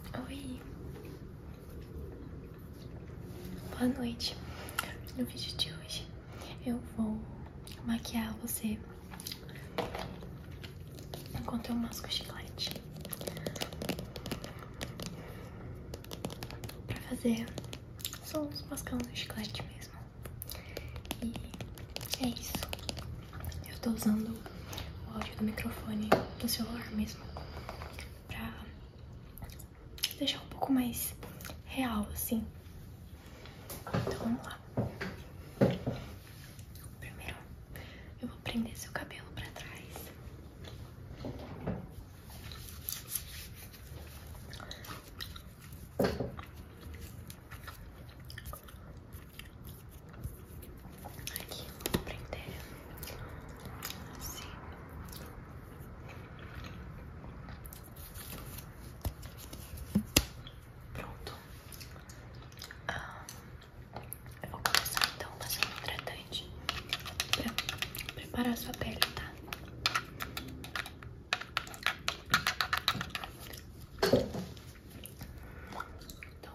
Oi! Boa noite! No vídeo de hoje eu vou maquiar você enquanto eu masco chiclete pra fazer só uns mascando chiclete mesmo. E é isso. Eu tô usando o áudio do microfone do celular mesmo, pra deixar um pouco mais real, assim. Então vamos lá. Primeiro, eu vou prender seu cabelo pra trás. Aqui, vou prender Pronto. Ah, eu vou começar então fazendo um hidratante pra preparar a sua pele, tá? Então,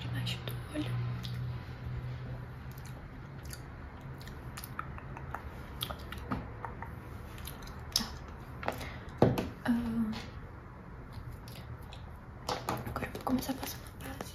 debaixo do olho. Tá. agora eu vou começar a passar uma base.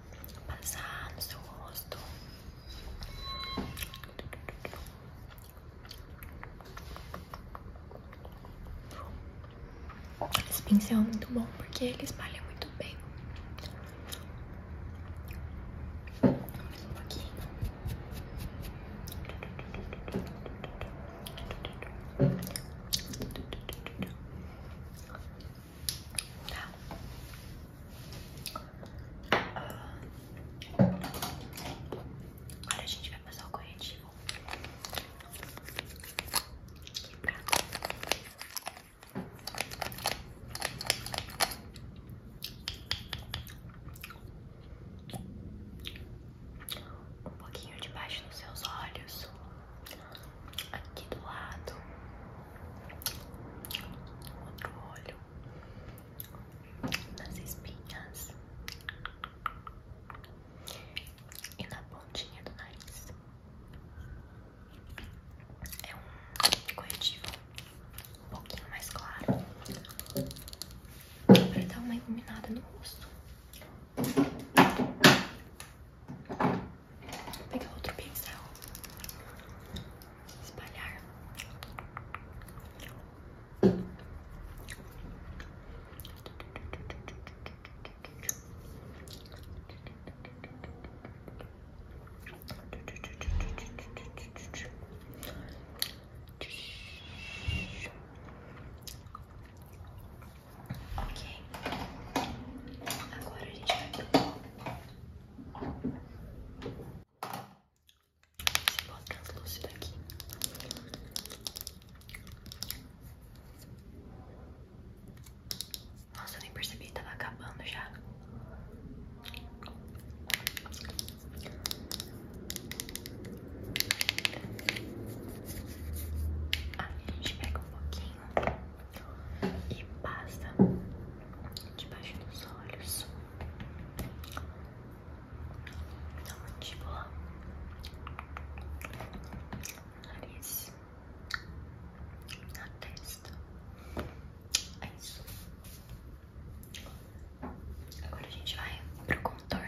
passar no seu rosto. Esse pincel é muito bom porque ele espalha muito bem. Tá? Agora a gente vai passar o corretivo aqui pra um pouquinho debaixo dos seus olhos aqui do lado, outro olho, nas espinhas e na pontinha do nariz. É um corretivo um pouquinho mais claro para dar uma iluminada no rosto. pegar outro pincel, espalhar. Ok, agora a gente vai Esse translúcido aqui. Nossa, eu nem percebi, tava acabando já. Ah, a gente pega um pouquinho e passa debaixo dos olhos. Na então, mandíbula, nariz, na testa. É isso. Agora a gente vai pro contorno.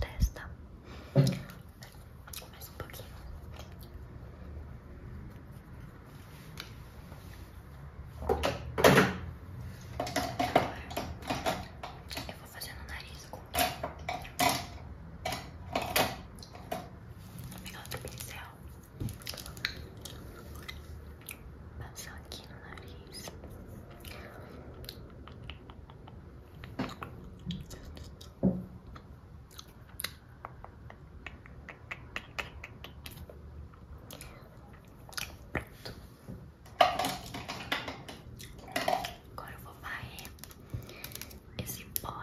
Testa mais um pouquinho. Agora, Eu vou fazer no nariz. Vou pegar outro pincel. Passar aqui no nariz. Agora eu vou varrer esse pó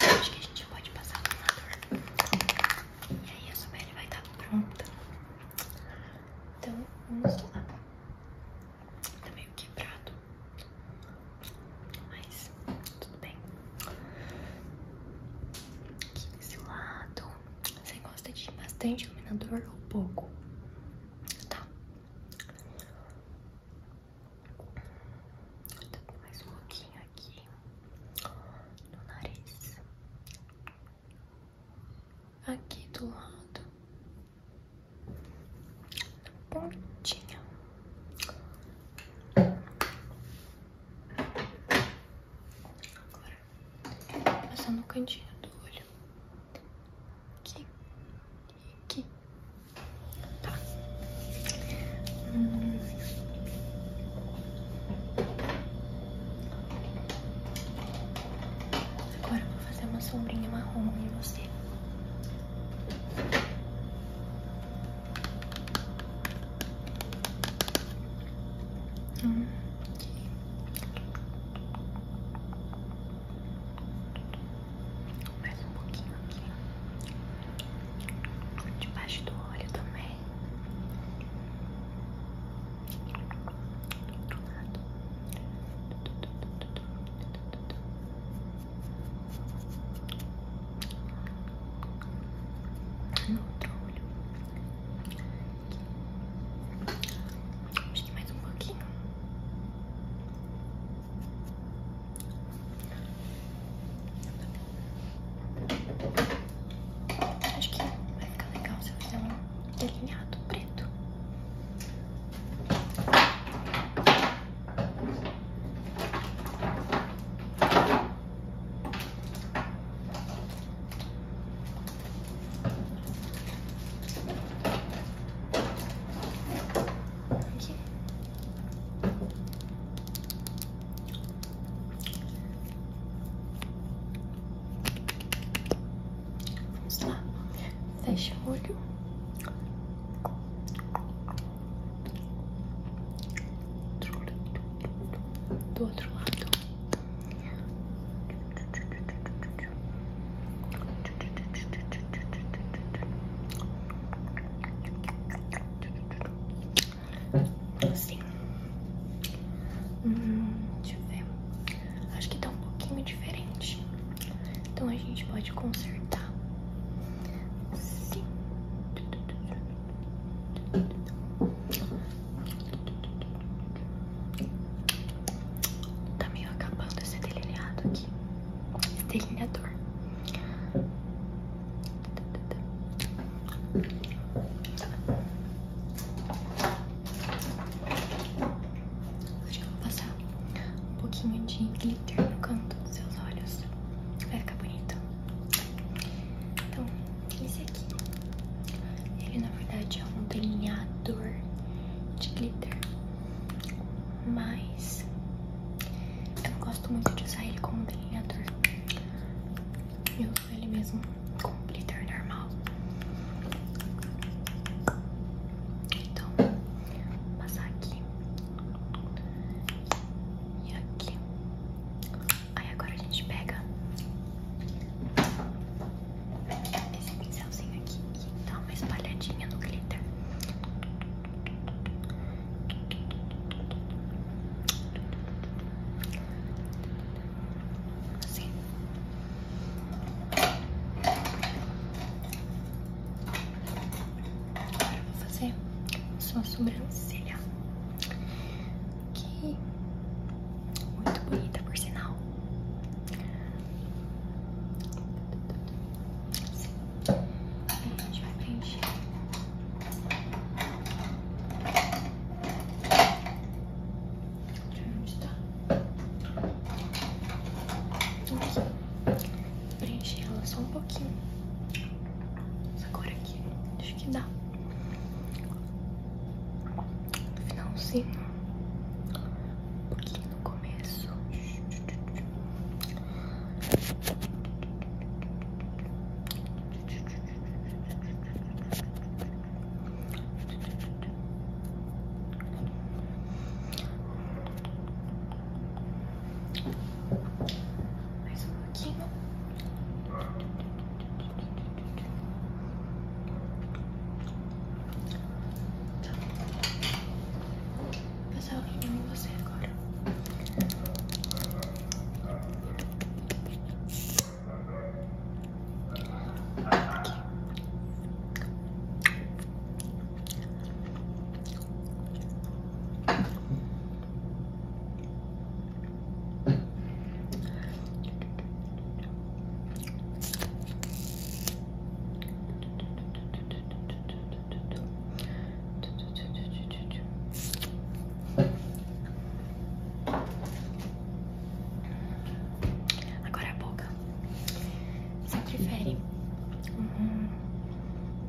acho que a gente pode passar o iluminador E aí a sua pele vai estar tá pronta. Então, vamos lá. Tá meio quebrado. Mas tudo bem. Aqui desse lado. Você gosta de bastante iluminador ou pouco? Tá. Também mais um pouquinho aqui no nariz, aqui do lado, na pontinha. Agora, passando no cantinho do olho, aqui, aqui, Tá. Agora vou fazer uma sombrinha marrom em você. Hum. Mais um pouquinho aqui. Debaixo do olho também. Do outro lado. No outro olho. Acho que mais um pouquinho. Acho que vai ficar legal se eu fizer um delineado preto. Aqui. Vamos lá. Fecha o olho. Do outro lado. Assim. Hum, deixa eu ver. Acho que tá um pouquinho diferente. Então a gente pode consertar. Sim. Tá meio acabando esse delineado aqui delineador. Hoje eu vou passar um pouquinho de glitter no canto dos seus olhos. Vai ficar bonito. Então, esse aqui. Ele na verdade é um delineador de glitter. Mas eu gosto muito de usar ele como delineador. Eu uso ele mesmo com glitter normal. Então, vou passar aqui e aqui. Aí agora a gente pega esse pincelzinho aqui que dá uma espalhadinha no glitter. Assim. Agora vou fazer sua sobrancelha. Que muito bonita, por sinal. A gente vai preencher. Pra onde tá? Preencher ela só um pouquinho. Essa cor aqui. Acho que dá. Finalzinho. Um pouquinho no começo. Mais um pouquinho. Então, vou passar o creme você agora. Agora é a boca você prefere um uhum.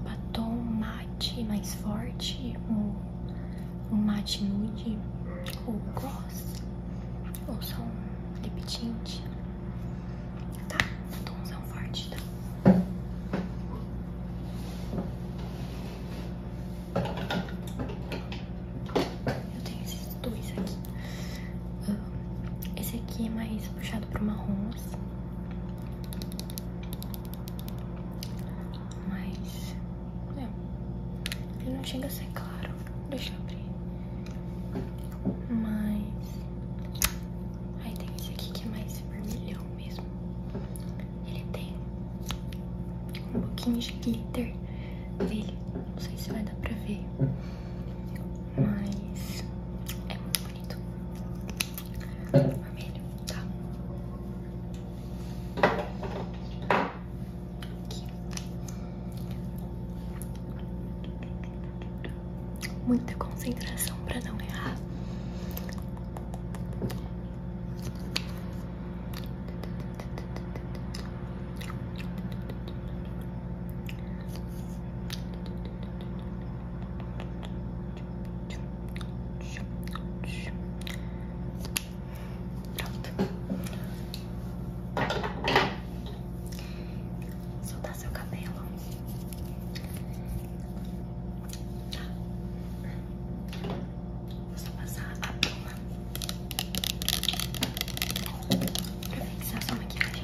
batom mate mais forte, um, um mate nude ou qual gloss ou só um lip tint. Tá, o tomzão forte, tá? Eu tenho esses dois aqui. Esse aqui é mais puxado pro marrom, Mas, é, ele não chega a ser claro. Deixa eu abrir. Mas. Aí tem esse aqui que é mais vermelhão mesmo. Ele tem um pouquinho de glitter nele. Não sei se vai dar pra ver. Mas. É muito bonito. Vermelho, tá? Muita concentração para não errar. Pronto. Soltar seu cabelo. Tá. Vou só passar a pluma pra fixar sua maquiagem.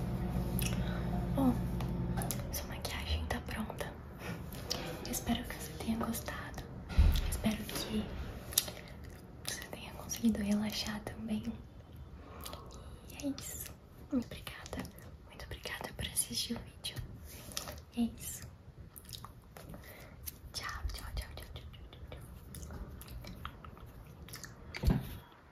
Bom, sua maquiagem tá pronta. espero que você tenha gostado. espero que você tenha conseguido relaxar também. E é isso. Muito obrigada. Muito obrigada por assistir o vídeo. E é isso. Tchau, tchau, tchau, tchau, tchau, tchau, tchau.